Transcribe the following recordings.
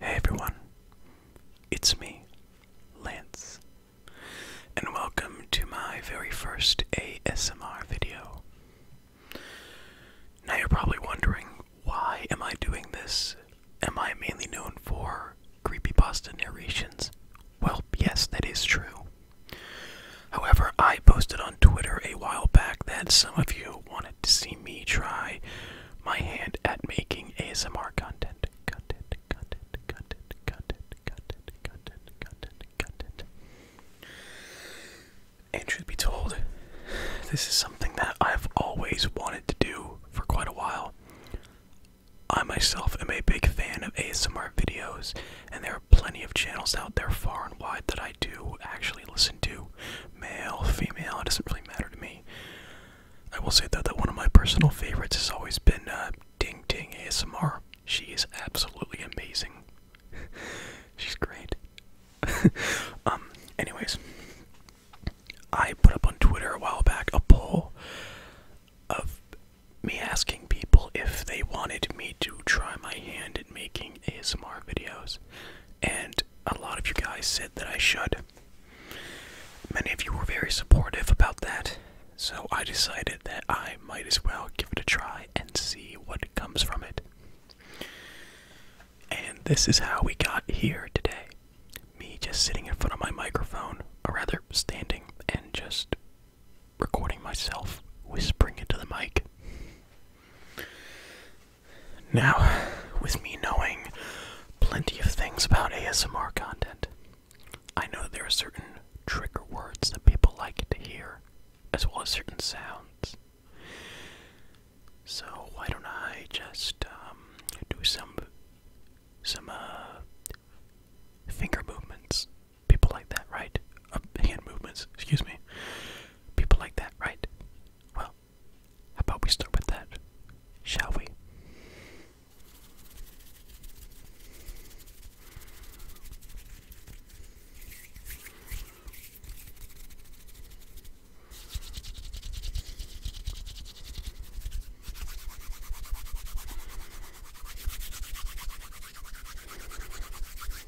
Hey everyone, it's me, Lance, and welcome to my very first ASMR video. Now you're probably wondering, why am I doing this? Am I mainly known for creepy pasta narrations? Well, yes, that is true. However, I posted on Twitter a while back that some of you wanted to see me try my hand at making ASMR content. Content, content, content, content, content, content, content, content. And should be told, this is something that I've always wanted to do for quite a while. I myself am a big fan of ASMR videos and there are plenty of channels out there far and wide that I do actually listen to. Male, female, it doesn't really matter to me. I will say though that one of my personal favorites has always been uh, Ding Ding ASMR. She is absolutely amazing. She's great. um, anyways, I put up on Twitter a while back a poll of me asking people if they wanted me to try my hand at making ASMR videos, and a lot of you guys said that I should. Many of you were very supportive about that, so I decided that I might as well give it a try and see what comes from it. And this is how we got here today. Me just sitting in front of my microphone, or rather standing, and just recording myself whispering into the mic. Now, with me knowing plenty of things about ASMR content, I know that there are certain trigger words that people like to hear, as well as certain sounds. So why don't I just um, do some some uh, finger movements People like that, right? Uh, hand movements, excuse me. People like that, right? Well, how about we start with that, shall we?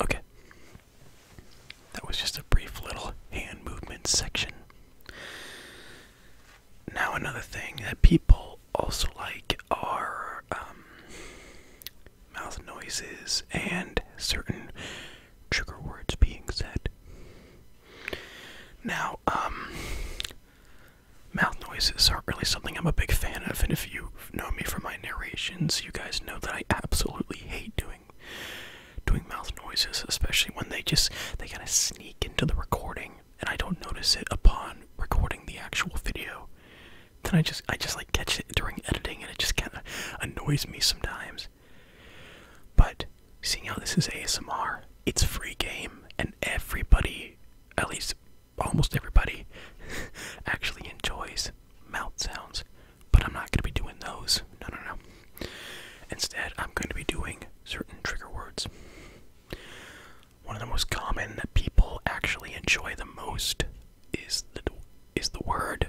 Okay. That was just a brief little hand movement section. Now, another thing that people also like our um, mouth noises and certain trigger words being said. Now, um, mouth noises are not really something I'm a big fan of, and if you have known me from my narrations, you guys know that I absolutely hate doing doing mouth noises, especially when they just they kind of sneak into the recording, and I don't notice it upon recording the actual video then I just I just like catch it during editing and it just kind of annoys me sometimes. But seeing how this is ASMR, it's free game and everybody, at least almost everybody, actually enjoys mouth sounds. But I'm not going to be doing those. No, no, no. Instead, I'm going to be doing certain trigger words one of the most common that people actually enjoy the most is the is the word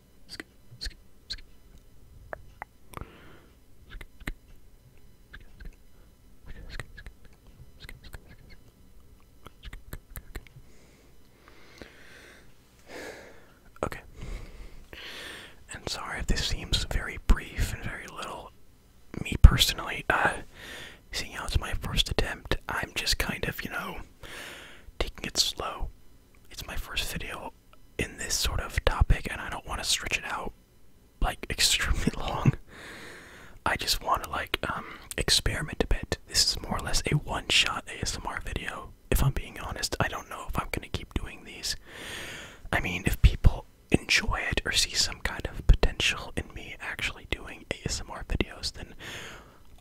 skip, skip, skip. Okay. And sorry if this seems very brief and very little. Me personally, uh, seeing how it's my first attempt, I'm just kind of, you know, taking it slow. It's my first video in this sort of topic, and I don't want to stretch it out like extremely long. I just want to like um, experiment a bit. This is more or less a one-shot ASMR video. If I'm being honest, I don't know if I'm gonna keep doing these. I mean, if people enjoy it or see some kind of potential in me actually doing ASMR videos, then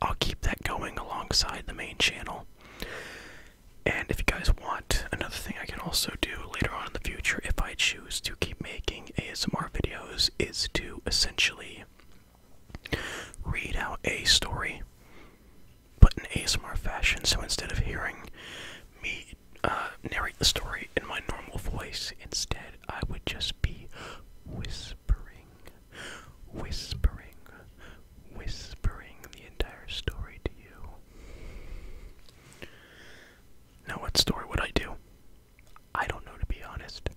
I'll keep that going alongside the main channel. And if you guys want, another thing I can also do later on in the future, if I choose to keep making ASMR videos, is to essentially read out a story, but in ASMR fashion. So instead of hearing me uh, narrate the story in my normal voice, instead I would just be whispering, whispering, whispering the entire story to you. Now, what story would I do? I don't know, to be honest.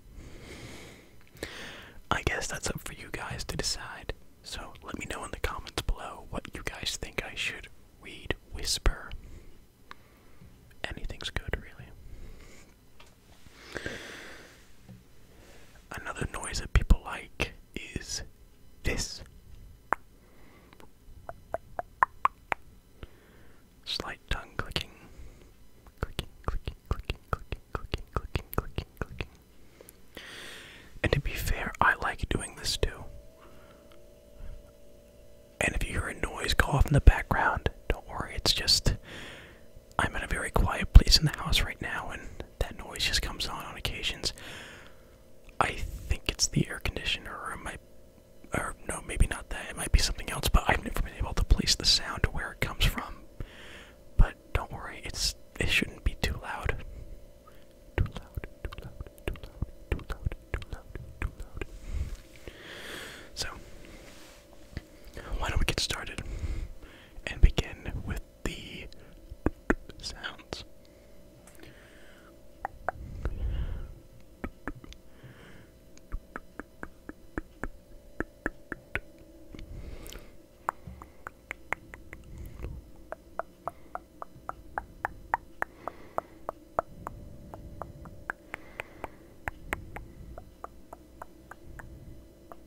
I guess that's up for you guys to decide. So let me know in the comments below what you guys think I should read, whisper. Anything's good, really. Another noise that people like is this. Slight tongue clicking. Clicking, clicking, clicking, clicking, clicking, clicking, clicking, And to be fair, I like doing this too. And if you hear a noise go off in the background, don't worry, it's just. I'm in a very quiet place in the house right now, and that noise just comes on on occasions. I think it's the air conditioner, or it might, or no, maybe not that. It might be something else. But I've never been able to place the sound to where it comes from. But don't worry, it's it shouldn't be too loud. Too loud, too loud, too loud, too loud, too loud, too loud. So why don't we get started and begin with the sounds.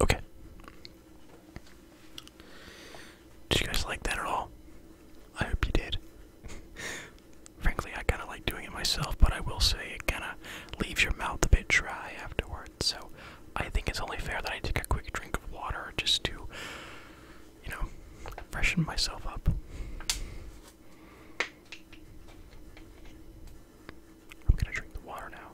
Okay. Did you guys like that at all? I hope you did. Frankly, I kind of like doing it myself, but I will say it kind of leaves your mouth a bit dry afterwards. So I think it's only fair that I take a quick drink of water just to, you know, freshen myself up. I'm gonna drink the water now.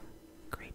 Great.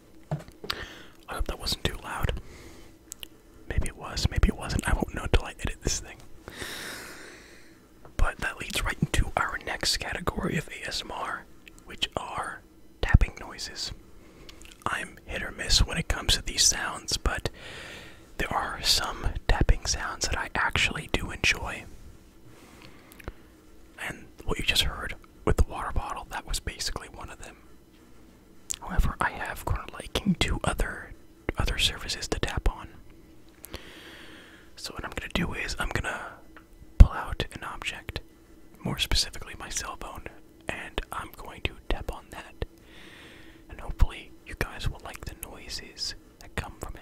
I hope that wasn't too loud. Maybe it was, maybe it wasn't. I won't know until I edit this thing. But that leads right into our next category of ASMR, which are tapping noises. I'm hit or miss when it comes to these sounds, but there are some tapping sounds that I actually do enjoy. And what you just heard with the water bottle, that was basically one of them. However, I have grown liking to other other surfaces to tap on. So what I'm gonna do is I'm gonna pull out an object, more specifically my cell phone, and I'm going to tap on that. And hopefully you guys will like the noises that come from it.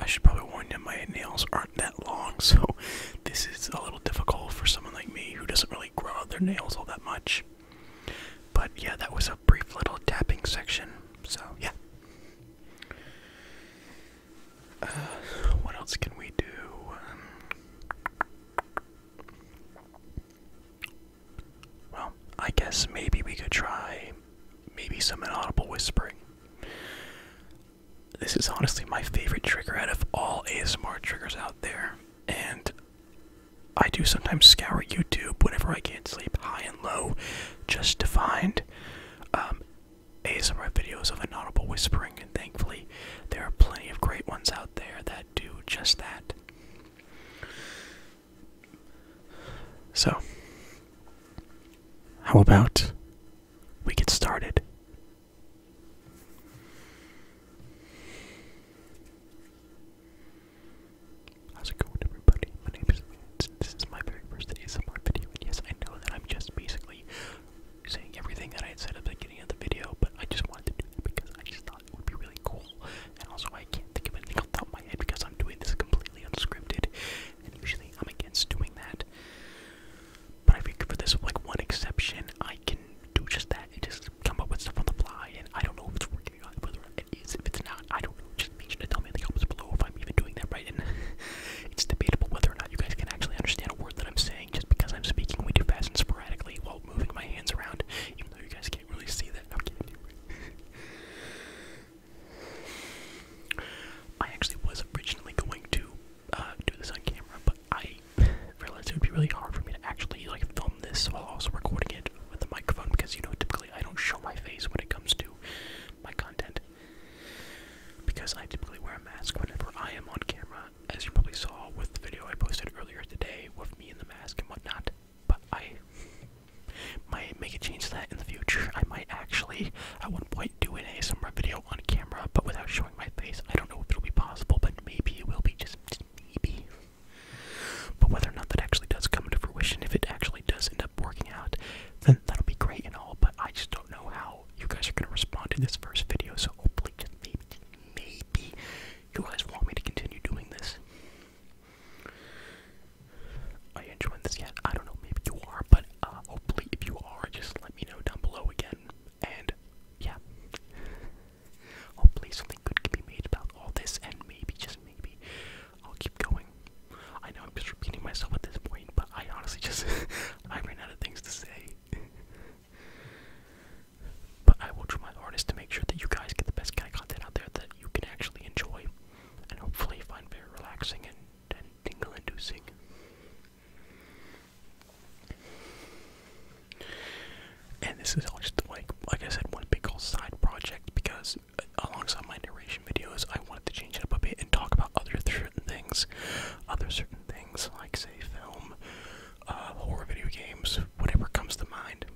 I should probably warn you my nails aren't that long, so this is a little difficult for someone like me who doesn't really really grow out their nails all that much. But yeah, that was a brief little tapping section. So yeah. Uh, what else can we do? well, I guess maybe we could try maybe some inaudible whispering. This is honestly my favorite trigger out of all ASMR triggers out there, and I do sometimes scour YouTube whenever I can't sleep, high and low, just to find um, ASMR videos of inaudible whispering, and thankfully, there are plenty of great ones out there that do just that. So, how about we get started? How's it going everybody? My name is this is my very first ASMR video and yes I know that I'm just basically saying everything that I had said at the beginning of the video but I just wanted to do it because I just thought it would be really cool and also I can't think of anything else the top of my head because I'm doing this completely unscripted and usually I'm against doing that but I figured for this like one exception I can do just that. It come up with stuff on the fly, and I don't know if it's working or whether it is, if it's not, I don't Just make sure to tell me in the comments below if I'm even doing that right, and it's debatable whether or not you guys can actually understand a word that I'm saying just because I'm speaking way too fast and sporadically while moving my hands around, even though you guys can't really see that. I actually was originally going to uh, do this on camera, but I realized it would be really hard for me to actually like film this while also recording it with the microphone because you know typically I don't show my face when it comes to my content because I typically wear a mask whenever I am on camera, as you probably saw with the video I posted earlier today with me in the mask and whatnot. But I might make a change to that in the future. I might actually at one point do an ASMR video on camera, but without showing my face. I don't know if it'll be possible, but maybe it will be just maybe. But whether or not that actually does come into fruition, if it actually does end up working out, then that'll be great and all, but I just don't know how you guys are going to respond to this first video, so hopefully, just maybe, maybe you guys want me to continue doing this. I enjoy this yet? I don't know, maybe you are, but uh, hopefully, if you are, just let me know down below again. And yeah. Hopefully something good can be made about all this, and maybe, just maybe, I'll keep going. I know I'm just repeating myself at this point, but I honestly just, I ran out of things to say. but I will try my hardest to make sure that you guys get the best kind of content out there that you can actually enjoy, and hopefully find very relaxing and, and tingle-inducing. And this is all just like, like I said, one big old side project because uh, alongside my narration videos, I wanted to change it up a bit and talk about other certain things, other certain things like say film, uh, horror video games, whatever comes to mind.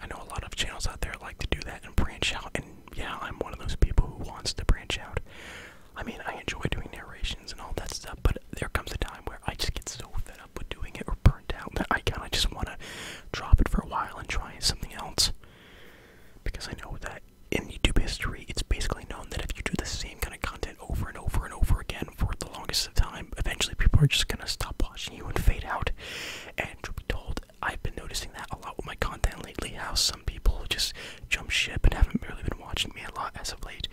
I know a lot of channels out there like to do that and branch out, and yeah, I'm one of those people who wants to branch out. I mean, I enjoy doing narrations and all that stuff, but there comes a time where I just get so fed up with doing it or burnt out. I kind of just want to drop it for a while and try something else. Because I know that in YouTube history, it's basically known that if you do the same kind of content over and over and over again for the longest of time, eventually people are just going to stop watching you and fade out. And to be told, I've been noticing that a lot with my content lately, how some people just jump ship and haven't really been watching me a lot as of late.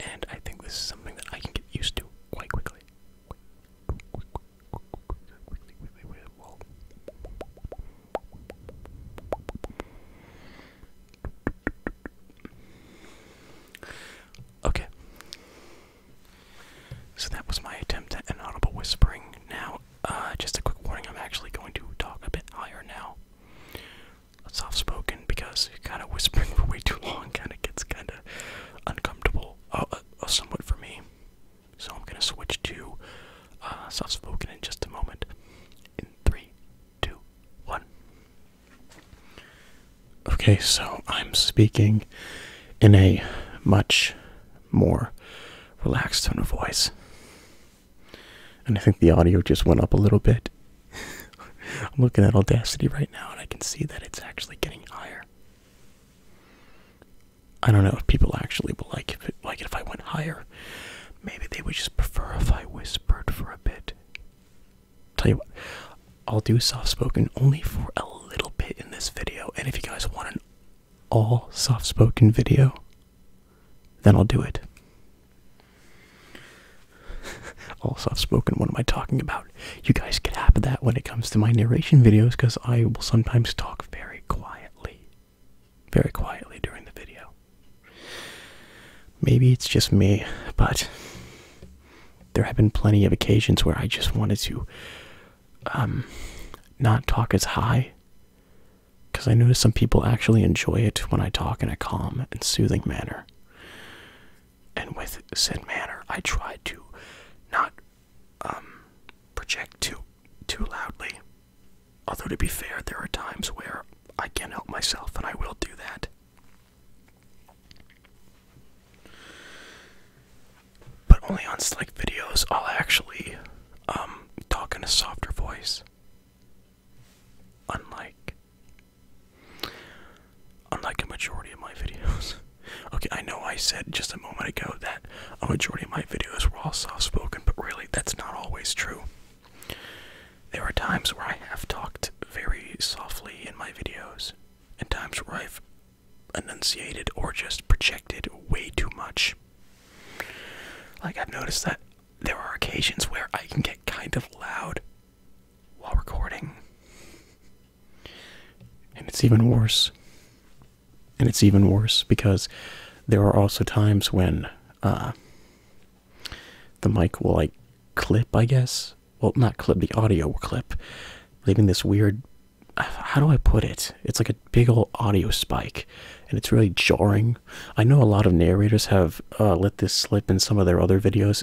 And I think this is something that I can get used to quite quickly. Okay. So that was my attempt at an audible whispering. Now, uh, just a quick warning, I'm actually going to talk a bit higher now soft spoken because kind of whispering for way too long kind of gets kind of uncomfortable, uh, uh, uh, somewhat for me. So I'm gonna switch to soft spoken in just a moment. In three, two, one. Okay, so I'm speaking in a much more relaxed tone of voice. And I think the audio just went up a little bit I'm looking at Audacity right now and I can see that it's actually getting higher. I don't know if people actually will like it, like it if I went higher. Maybe they would just prefer if I whispered for a bit. Tell you what, I'll do soft spoken only for a little bit in this video, and if you guys want an all soft spoken video, then I'll do it. also, I've spoken. What am I talking about? You guys get half of that when it comes to my narration videos because I will sometimes talk very quietly. Very quietly during the video. Maybe it's just me, but there have been plenty of occasions where I just wanted to um, not talk as high because I notice some people actually enjoy it when I talk in a calm and soothing manner and with said manner I try to not um, project too too loudly. Although to be fair, there are times where I can't help myself, and I will do that. But only on Slick videos I'll actually um, talk in a softer voice. Unlike Unlike a majority of my videos. okay, I know I said just a moment ago that a majority of my videos were all soft spoken, but really that's not always true. There are times where I have talked very softly in my videos, and times where I've enunciated or just projected way too much. Like, I've noticed that there are occasions where I can get kind of loud while recording. And it's even worse. And it's even worse because there are also times when uh, the mic will like clip, I guess. Well, not clip, the audio clip, leaving this weird. How do I put it? It's like a big old audio spike, and it's really jarring. I know a lot of narrators have uh, let this slip in some of their other videos,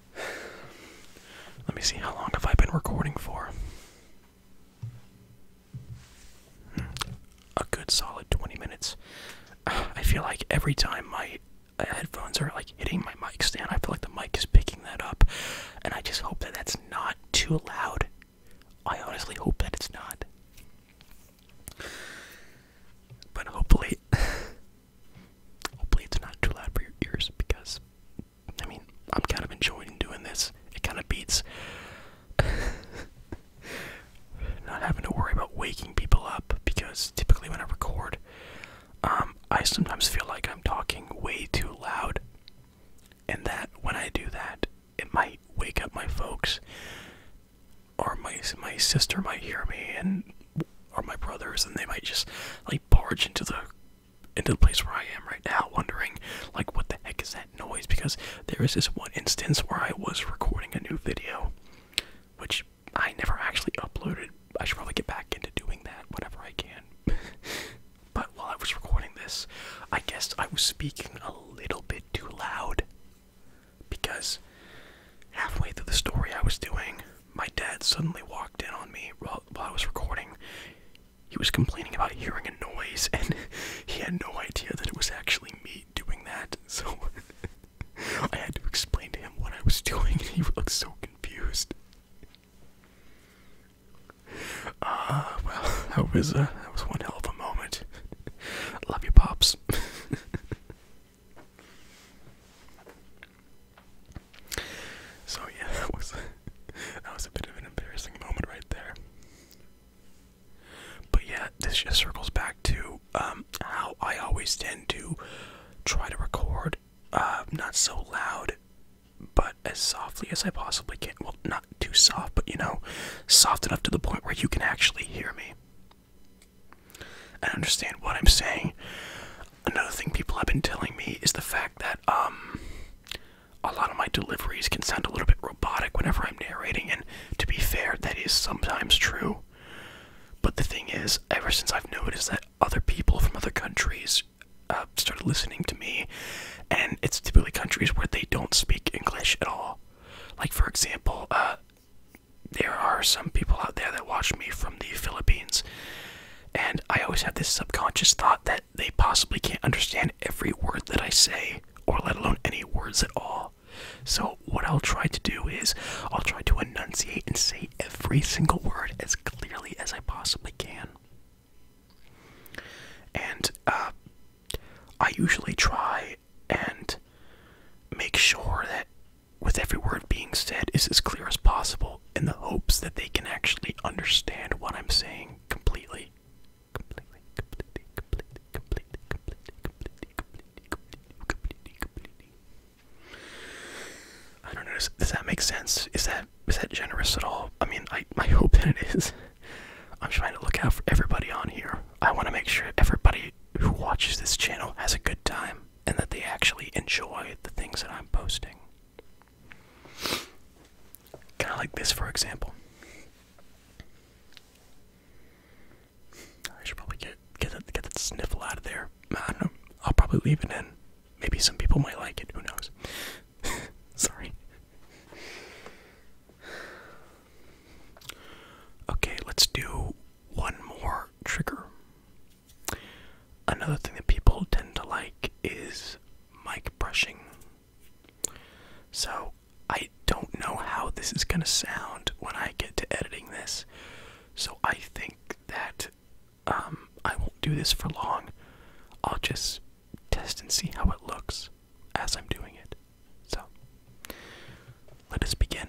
Let me see how long have I been recording for? Hmm, a good solid 20 minutes. I feel like every time my uh, headphones are like hitting my mic stand, I feel like the mic is picking that up. And I just hope that that's not too loud. I honestly hope that it's not. But hopefully, hopefully it's not too loud for your ears because I mean, I'm kind of enjoying doing this. It kind of beats not having to worry about waking people up because typically when I record, um, I sometimes feel like I'm talking way too loud, and that when I do that, it might wake up my folks, or my my sister might hear me, and or my brothers, and they might just like barge into the into the place where I am right now, wondering like what the heck is that noise? Because there is this one instance where I was recording a new video, which I never actually uploaded. I should probably get back into doing that whenever I can. but while I was recording this, I guess I was speaking a little bit too loud because halfway through the story I was doing, my dad suddenly walked in on me while, I was recording. He was complaining about hearing a noise, and he had no idea that it was actually me doing that. So I had to explain to him what I was doing, and he looked so confused. Ah, well, that was uh, that was one hell of a moment. Love you, pops. So yeah, that was that was a bit of an embarrassing moment right there. But yeah, this just circles back to um, how I always tend to try to record uh, not so loud, but as softly as I possibly can. Well, not too soft, but you know, soft enough to the point where you can actually hear me and understand what I'm saying. Another thing people have been telling me is the fact that um, a lot of my deliveries can sound a little bit robotic whenever I'm narrating, and to be fair, that is sometimes true. But the thing is, ever since I've noticed that other people from other countries uh, started listening to me, and it's typically countries where they don't speak English at all. Like, for example, uh, there are some people out there that watch me from the Philippines, and I always have this subconscious thought that they possibly can't understand every word that I say, or let alone any words at all. So, what I'll try to do is, I'll try to enunciate and say every single word as clearly as I possibly can. And uh, I usually try and make sure that, with every word being said, is as clear as possible in the hopes that they can actually understand what I'm saying completely. Completely, completely, completely, completely, completely, completely, completely, completely, completely. I Does, does that make sense? Is that is that generous at all? I mean, I I hope that it is. I'm trying to look out for everybody on here. I want to make sure everybody who watches this channel has a good time and that they actually enjoy the things that I'm posting. Kind of like this, for example. I should probably get get that sniffle out of there. I don't know. I'll probably leave it in. Maybe some people might like it. Who knows? Sorry. Okay, let's do one more trigger. Another thing that people tend to like is mic brushing. So I don't know how this is going to sound when I get to editing this. So I think that um, I won't do this for long. I'll just test and see how it looks as I'm doing it. So let us begin.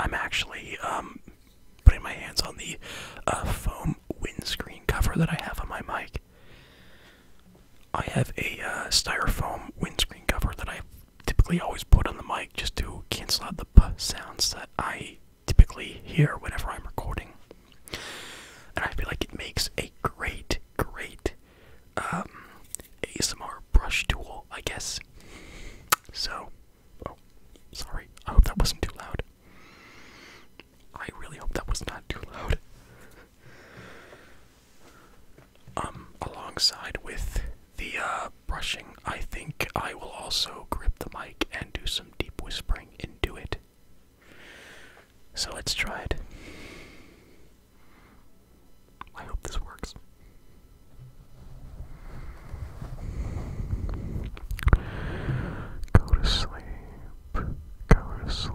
I'm actually um, putting my hands on the uh, foam windscreen cover that I have on my mic I have a uh, styrofoam windscreen cover that I typically always put on the mic just to cancel out the sounds that I typically hear whenever I'm recording. And I feel like it makes a great, great um, ASMR brush tool, I guess. So, oh, sorry. I hope that wasn't too loud. I really hope that was not too loud. Um, alongside with the uh, brushing, I think I will also grip the mic and do some deep whispering into it. So let's try it. I hope this works. Go to sleep. Go to sleep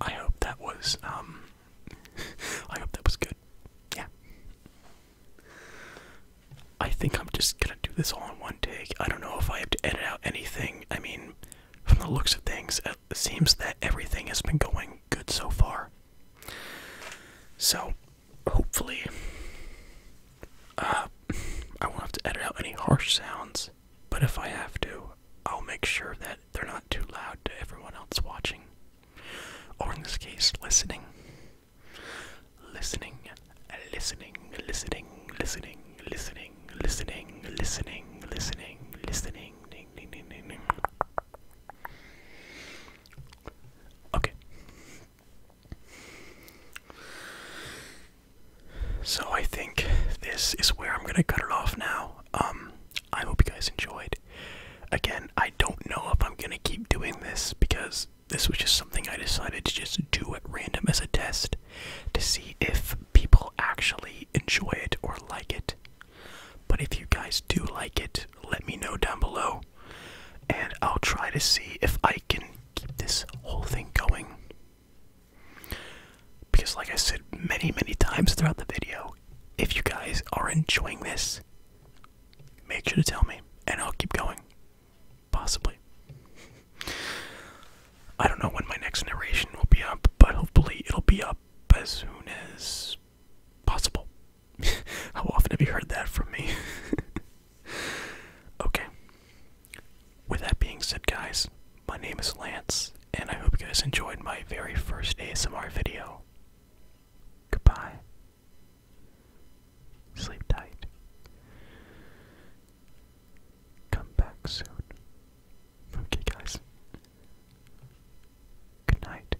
I hope that was um I hope that was good. Yeah. I think I'm just gonna do this all in one take. I don't know if I have to edit out anything. I mean, from the looks of things, it seems that everything has been going good so far. So, hopefully, uh, I won't have to edit out any harsh sounds, but if I have to, I'll make sure that they're not too loud to everyone else watching. Or in this case, listening. Listening, listening, listening, listening, listening, listening, listening, listening, listening, ding, ding, ding, ding, ding. Okay. So I think this is where I'm gonna cut it off now. Um, I hope you guys enjoyed. Again, I don't know if I'm gonna keep doing this because this was just something I decided to just do at random as a test to see if people actually enjoy it or like it. But if you guys do like it, let me know down below and I'll try to see if I can keep this whole thing going. Because, like I said many, many times throughout the video, if you guys are enjoying this, make sure to tell me and I'll keep going. Possibly. I don't know when my next narration will be up, but hopefully it'll be up as soon as possible. How often have you heard that from me? okay. With that being said, guys, my name is Lance, and I hope you guys enjoyed my very first ASMR video. Goodbye. Sleep tight. Come back soon. Okay, guys. Good night.